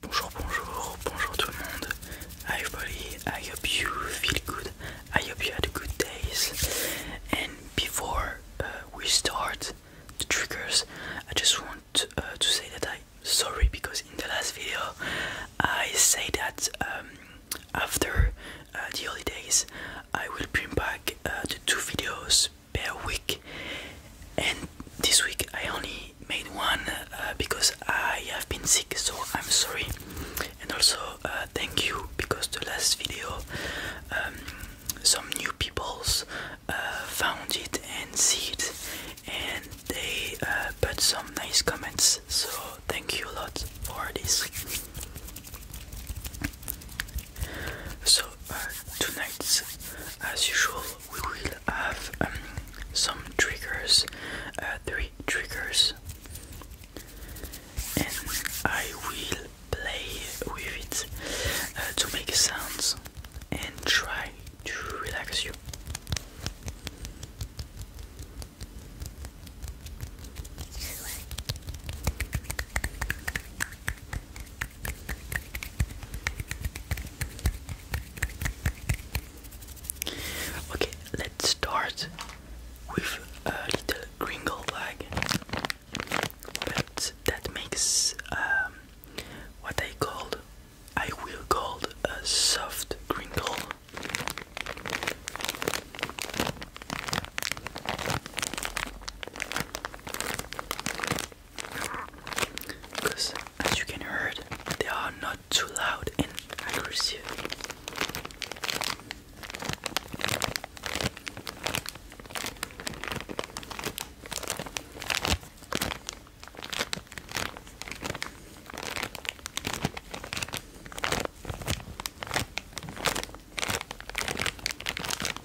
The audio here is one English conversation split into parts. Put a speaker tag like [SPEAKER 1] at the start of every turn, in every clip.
[SPEAKER 1] Bonjour, bonjour, bonjour tout le monde. Hi everybody, I hope you feel good. I hope you had a good days. And before uh, we start the triggers, I just want uh, to say that I'm sorry because in the last video I say that um, after uh, the holidays I will bring back the two videos per week and this week I only made one uh, because I have been sick, so I'm sorry. And also uh, thank you because the last video, um, some new peoples uh, found it and see it, and they put some nice comments. So thank you a lot for this. So tonight, as usual, we will have um, some triggers, uh, three triggers, and I will play with it uh, to make sounds and try to relax you. Okay, let's start with a little Gringle bag, but that makes um, what I called, I will call a soft Gringle because as you can hear they are not too loud and aggressive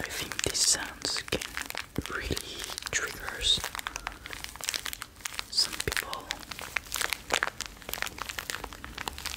[SPEAKER 1] I think these sounds can really triggers some people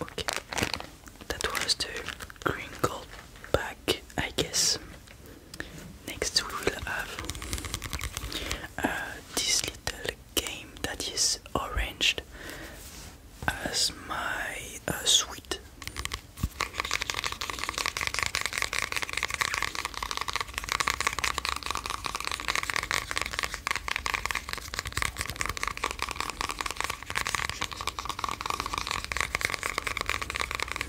[SPEAKER 1] Okay, that was the green gold bag, I guess. Next, we will have this little game that is arranged as my uh, sweet.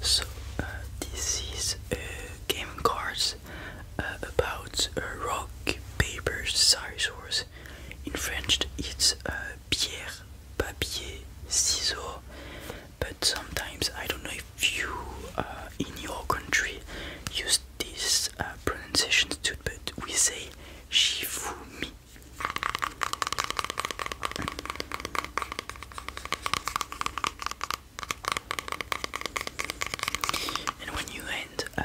[SPEAKER 1] So uh, this is a uh, game cards uh, about a rock paper scissors. In French, it's uh, pierre papier ciseaux but sometimes I don't know if you uh, in your country use this uh, pronunciation too, but we say shifumi. And when you end uh,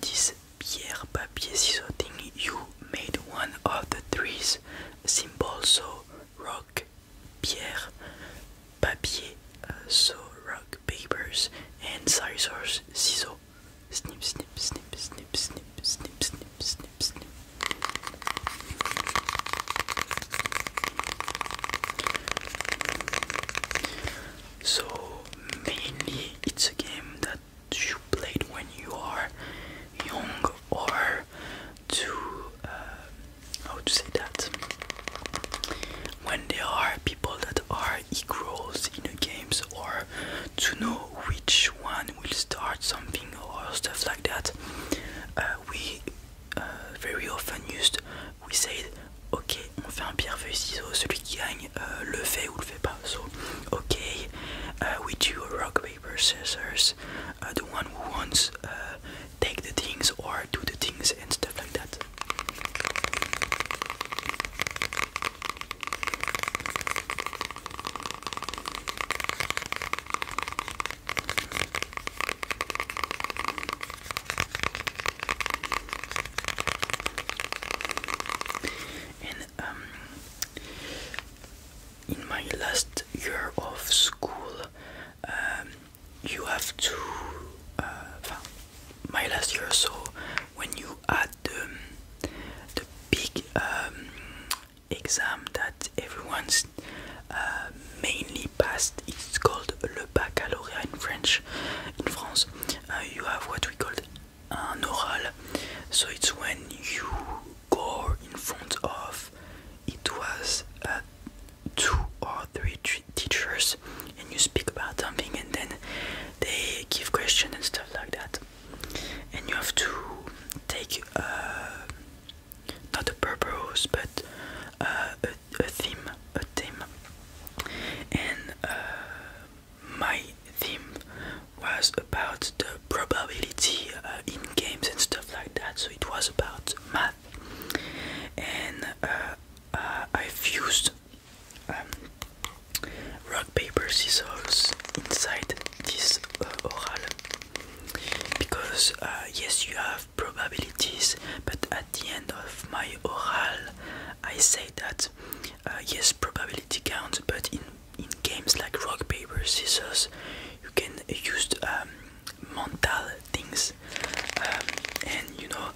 [SPEAKER 1] this pierre, papier, scissors thing, you made one of the three symbols, so rock, pierre, papier, euh, so rock, papers, and scissors, scissors. Snip, snip, snip, snip, snip, snip, snip, snip, snip. So mainly it's a game that you played when you are young or to um, how to say that when there are people that are equals in the games or to know which one will start something or stuff like that uh, we uh, very often used we said ok on fait un pierre feuille ciseaux celui qui gagne euh, le fait ou le fait pas so ok uh, we do a paper, scissors, uh, the one who wants uh, take the things or do the things and stuff like that. Um, in my last year of school um, you have to uh, my last year so when you had the, the big um, exam that everyone's uh, mainly passed it's called le baccalauréat in French in France uh, you have what we call an oral so it's when you goal in front of it was uh, two or three teachers and you speak about something and then they give questions and stuff like that and you have to take uh, not a purpose but uh, a, theme a theme and uh, my theme was about the probability uh, in games and stuff like that. So it was about math, and uh, uh, I've used um, rock paper scissors inside this oral because yes, you have probabilities, but at the end of my oral, I say that yes, probability counts, but in in games like rock paper scissors you can use um, mental things um, and you know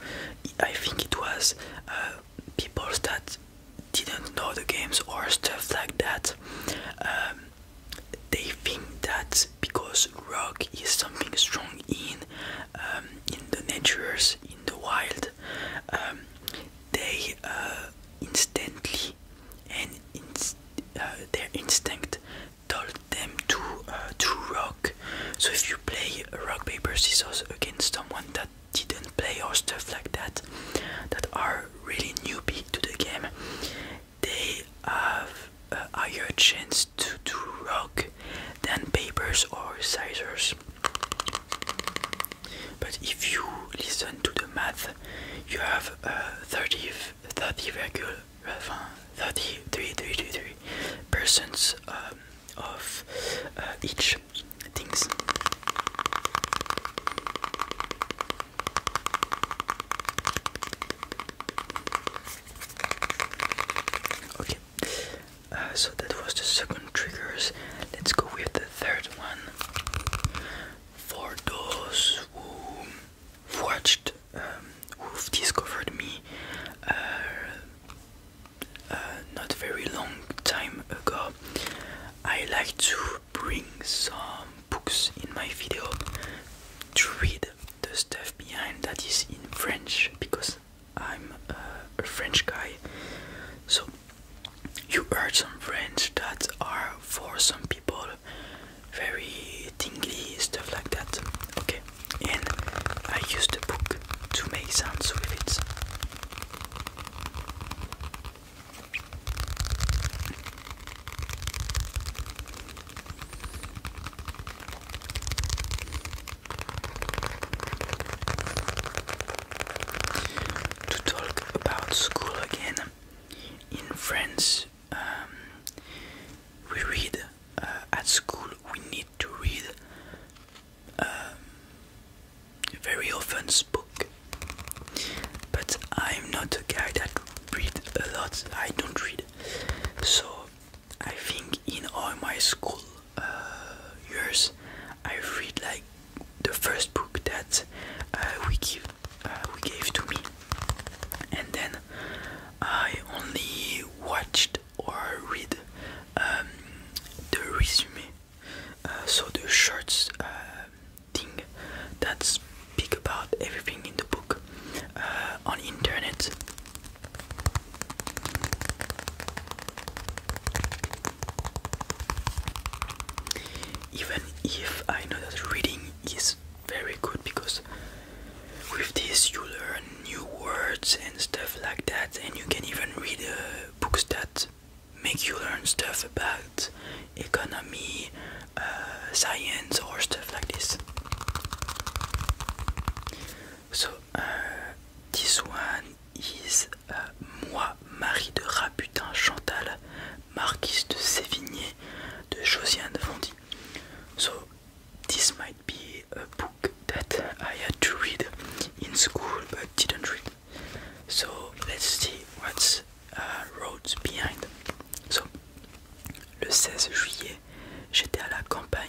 [SPEAKER 1] I think it was uh, people that didn't know the games or stuff like that um, they think that because rock is something strong in in the natures in the wild they uh, instantly and uh, their instinct told them to uh, to rock. So if you play rock paper scissors against someone that didn't play or stuff like that, that are really newbie to the game, they have a higher chance to to rock than papers or scissors. But if you listen to the math, you have uh, 30, 30, regular, uh, 33, 33 persons um, of uh, each things. Okay, uh, so that was the second triggers. Let's go with the third one for those who watched, um, who've discovered me uh, uh, not very long time ago. I like to bring some books in my video to read the stuff behind that is in French because I'm uh, a French guy. So you heard some friends that are for some people very tingly stuff like that. Okay, and I used a book to make sounds with it to talk about school again. In France, um, we read uh, at school, we need to read um, very often book. But I'm not a guy that read a lot. I don't read. So I think in all my school uh, I read like the first book that uh, we give uh, we gave to me, and then I only watched or read um, the resume, uh, so the short thing that speak about everything in the book on internet. Even if I know that reading is very good because with this you learn new words and stuff like that, and you can even read uh, books that make you learn stuff about economy, uh, science, or stuff like this. So, uh, this one is moi, Marie de Rabutin Chantal, marquise de Sévigné, de Josiane Fondy. So, this might be a book that I had to read in school but didn't read. So, let's see what's uh, behind. So, le 16 juillet, j'étais à la campagne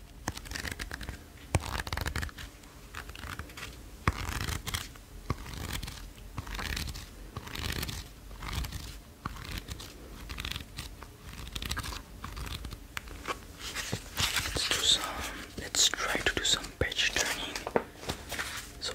[SPEAKER 1] Let's do some, let's try to do some page turning. So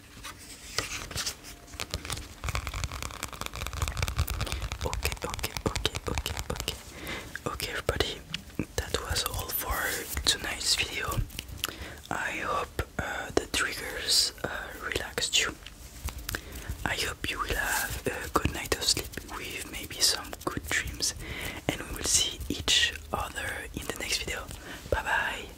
[SPEAKER 1] Okay, okay, okay, okay, okay. Okay, everybody, that was all for tonight's video. I hope uh, the triggers uh, relaxed you. I hope you will have a good night of sleep with maybe some good dreams, and we will see each other in the next video. Bye bye.